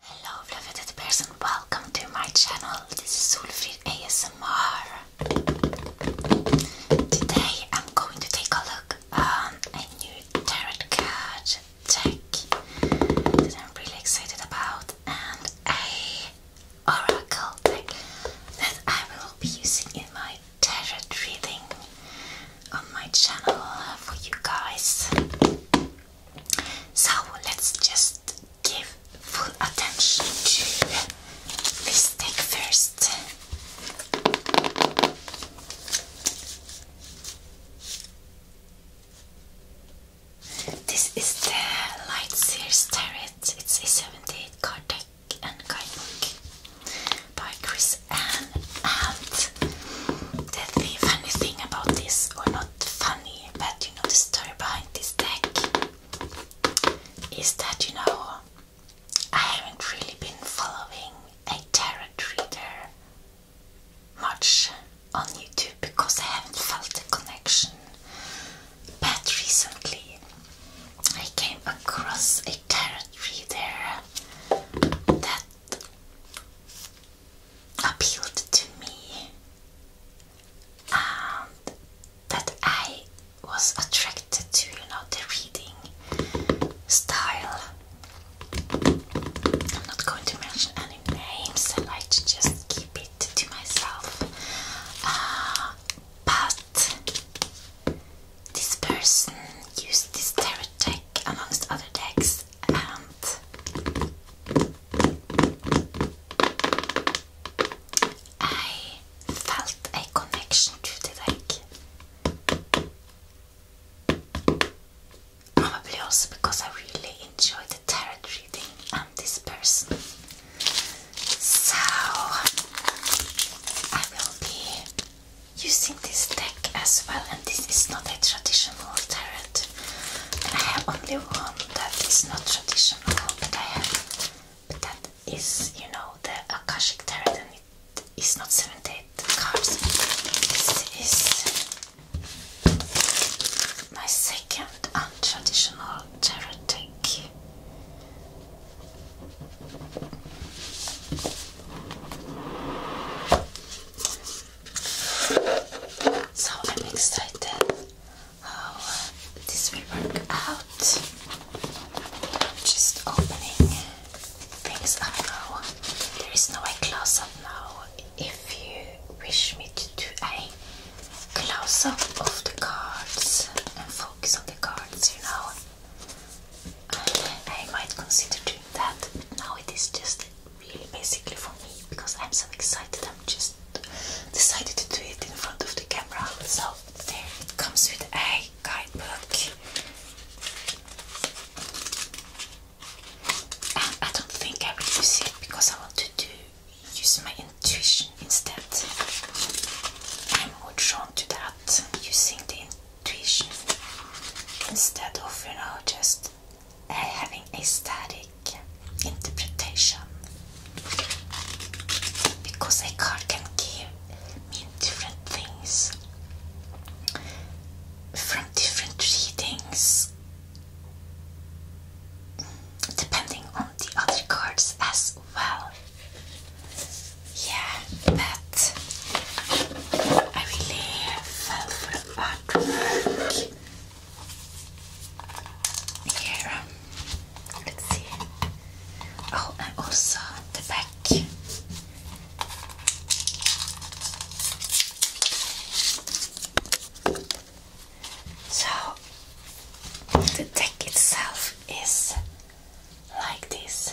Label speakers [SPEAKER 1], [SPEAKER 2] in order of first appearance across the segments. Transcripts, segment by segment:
[SPEAKER 1] Hello fluffy person, welcome to my channel. This is Sulfrid ASMR. Today I'm going to take a look on a new tarot card deck that I'm really excited about and a oracle deck that I will be using in my tarot reading on my channel for you guys. So let's just give full attention to this stick first. This is the Light Sears Tarot. It's a 78 card deck and guidebook by Chris and. And the funny thing about this, or not funny, but you know the story behind this deck, is that you know I haven't really been following a tarot reader much on YouTube because I haven't felt a connection. But recently I came across a tarot reader that appealed to me and um, that I was attracted to, you know, the reading style. I'm not going to mention any names, I like just keep it to myself. Uh, but this person used this tarot deck amongst other decks and I felt a connection to the deck. Probably also because I really enjoy the territory thing and this person. So I will be using this deck as well, and this is not a traditional tarot. And I have only one that is not traditional, but I have but that is, you know, the Akashic Tarot, and it is not 78 cards. This is my second untraditional tarot deck. So I'm excited how this will work out. Just opening things up now. There is no a close up now. If you wish me to do a close up of the cards and focus on the cards, you know. I might consider doing that, but now it is just really basically for me because I'm so excited. I'm just decided to do it in front of the camera. So there it comes with a guidebook. I don't think I will use it because I want to do use my intuition instead. I'm more drawn to that using the instead of you know just uh, having a static interpretation because a card can give me different things from different readings depending on the other cards as well yeah, but I really fell for the artwork. Here, um, let's see. Oh, and also the back. So the deck itself is like this.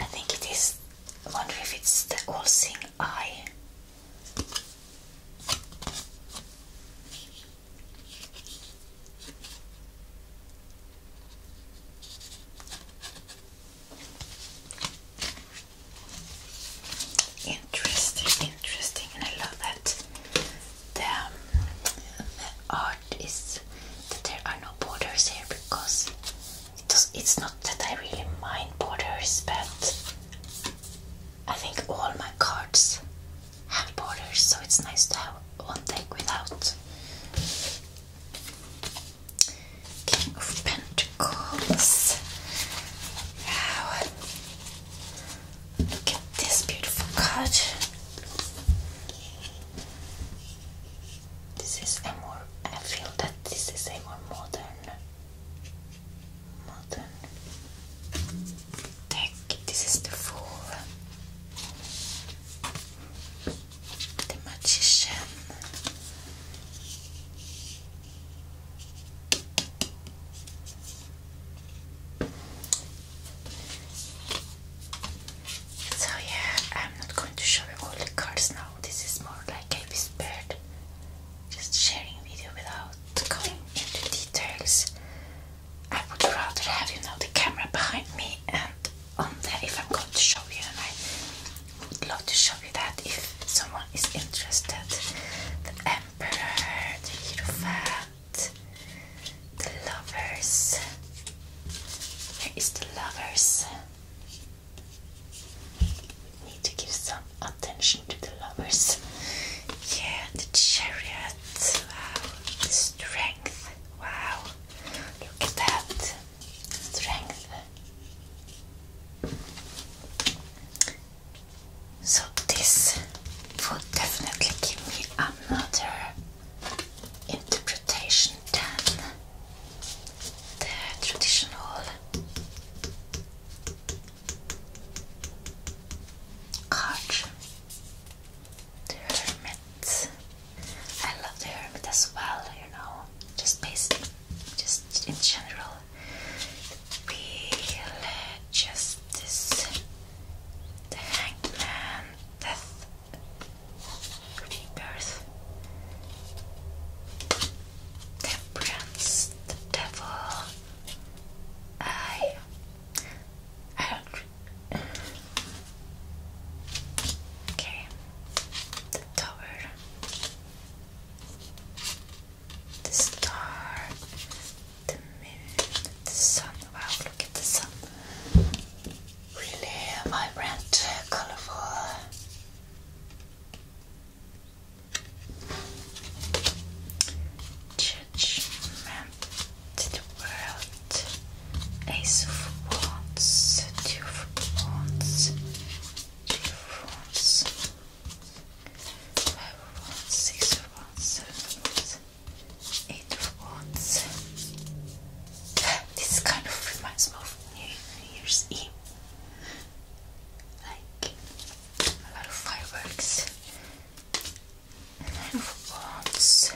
[SPEAKER 1] I think it is. I wonder if it's the all seeing eye. Interesting, interesting, and I love that the art is that there are no borders here because it's not that I really mind borders, but I think all my cards have borders, so it's nice to have one deck without. King of Pentacles. Wow. Look at this beautiful card. This is a more, I feel that this is a more modern, modern tech. This is the fool, the magician. So yeah, I'm not going to show you all the cards now. This is more like a whispered, just sharing video without going into details. I would rather have you know the camera behind me and on there if I'm going to show you, and I would love to show you that if someone is interested. The Emperor, the Hierophant, the lovers. There is the lovers? We Need to give some attention to the lovers. Yeah, the chariot. Wow, strength. Wow, look at that strength. So this would definitely give me another interpretation than the traditional card. The hermit. I love the hermit as well, you know. Just based just in general. we just Justice, the hangman, death, rebirth, temperance, the devil. I. I don't. Okay. The tower. The star the moon, the sun. Wow, look at the sun. Really vibrant, colorful. Judgment to the world. Ace of Wands, Two of Wands, Two of Wands. Five of Wands, Six of Wands, Seven of Wands, Eight of Wands. This kind of reminds me of New Year's Eve. Like a lot of fireworks. Nine of Wands,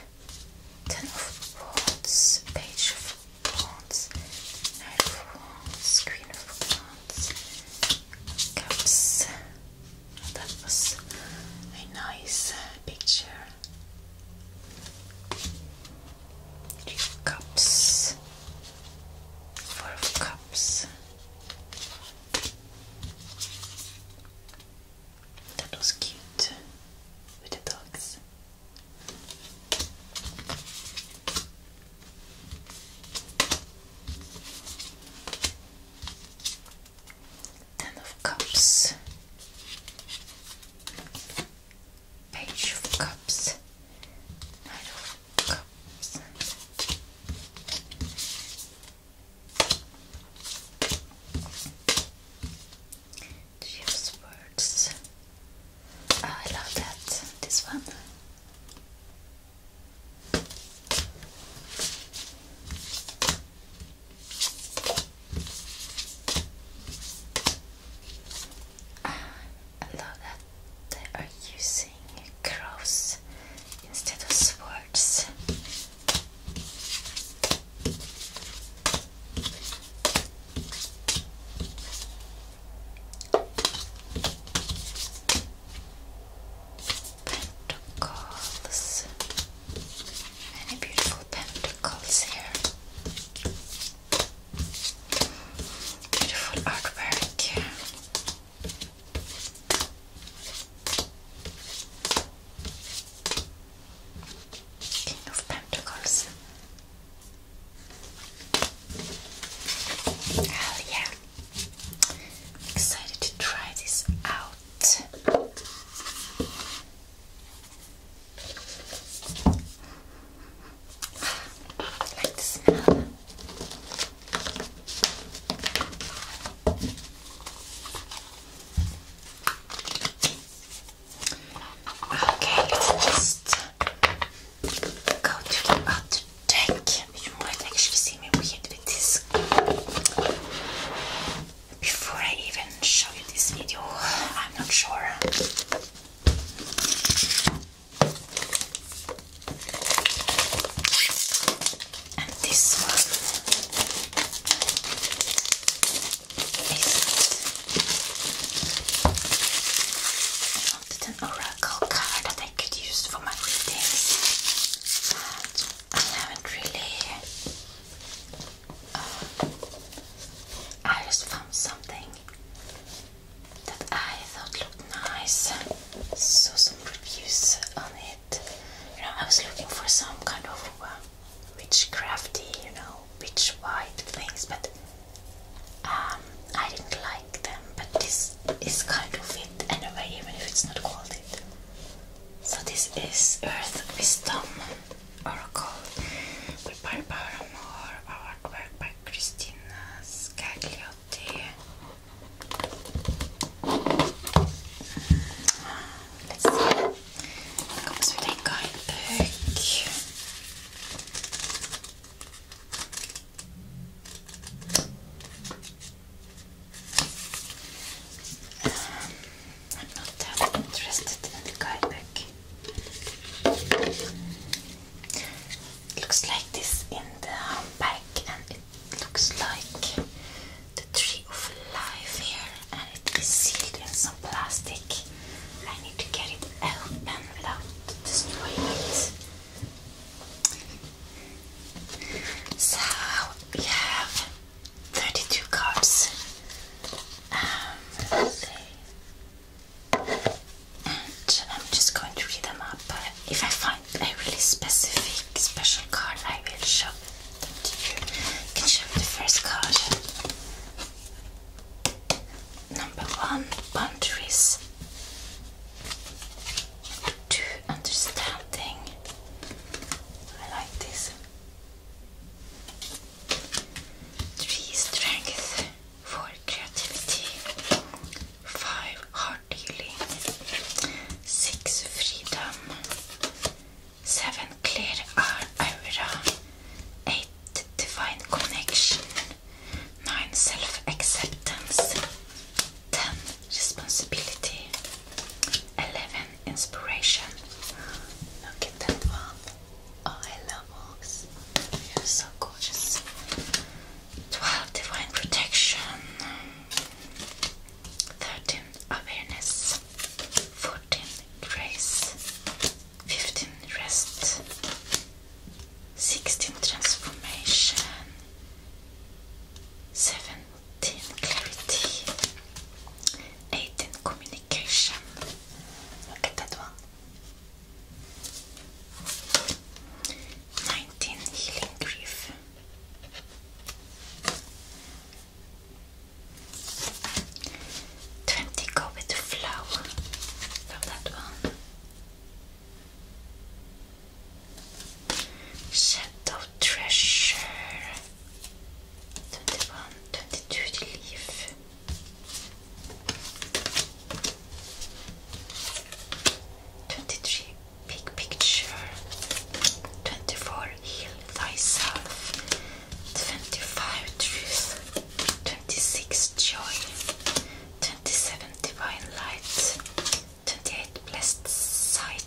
[SPEAKER 1] Ten of Wands, Page of Wands, Nine of Wands, Queen of Wands, cups. That was a nice uh, picture. cups, four cups. That was cute with the dogs. Ten of Cups, Page of Cups, Knight of Cups. Swords. Ah, I love that. This one. I love that they are using crows instead of swords. Pentacles. Many beautiful pentacles here. Beautiful artwork here. King of Pentacles. Oh yeah excited to try this out. like the smell. Okay, let's just go to the other you might actually see me weird with this before I even show you this video. I'm not sure. this one is wanted an oracle card that I could use for my readings, but I haven't really. Uh, I just found something that I thought looked nice, saw some reviews on it. You know, I was looking for some kind of uh, witchcrafty, you know, witch-white things, but um, I didn't like them, but this is kind of it anyway, even if it's not called it. So this is Earth Wisdom Oracle with Barbara Moore, artwork by Christina Scagliotti. Let's see. It comes with a guidebook. I'm not interested in the guidebook. It looks like this in the back, and it looks like the tree of life here, and it is sealed in some plastic. I need to get it open without destroying it. So we have 32 cups. Um, And I'm just going to read them up. If I find a really specific special card, I will show them to you. can show the first card number one boundaries to understanding. like this. Three strength, four creativity, five heart healing, six freedom, seven clear aura, eight the divine connection. 9. Self acceptance. 10. Responsibility. 11. Inspiration. Look at that one. Oh, I love books. You're so gorgeous. 12. Divine protection. 13. Awareness. 14. Grace. 15 rest, 16 transformation, 17 clarity, 18 communication. Look at that one. 19 healing grief. 20 go with the flower from that Treasure 21, 22 leaf. Twenty-three, big picture. Twenty-four, heal thyself. 25 truth, 26 joy, 27 divine light, 28 blessed sight,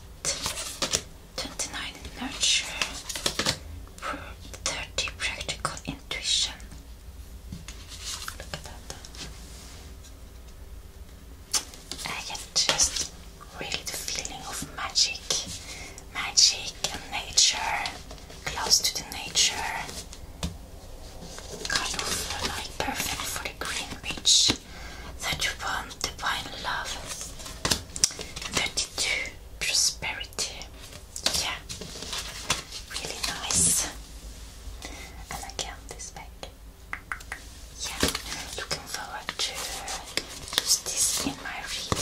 [SPEAKER 1] 29 nurture, 30 practical intuition. Look at that. I get just really the feeling of magic magic and nature, close to the nature, kind of like perfect for the green witch that you want to find love. 32 prosperity, yeah, really nice. And again, this back, yeah, looking forward to use this in my reading.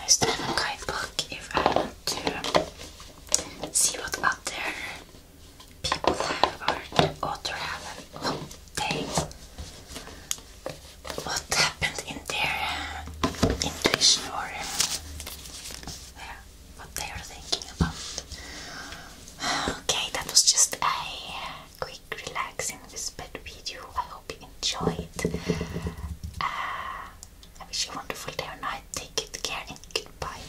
[SPEAKER 1] Nice to have a guidebook if I want to see what other people have or the author have. Oh, they what happened in there? uh, intuition or what they are thinking about. Okay, that was just a quick, relaxing, whispered video. I hope you enjoyed. Uh, I wish you a wonderful day or night. Take good care and goodbye.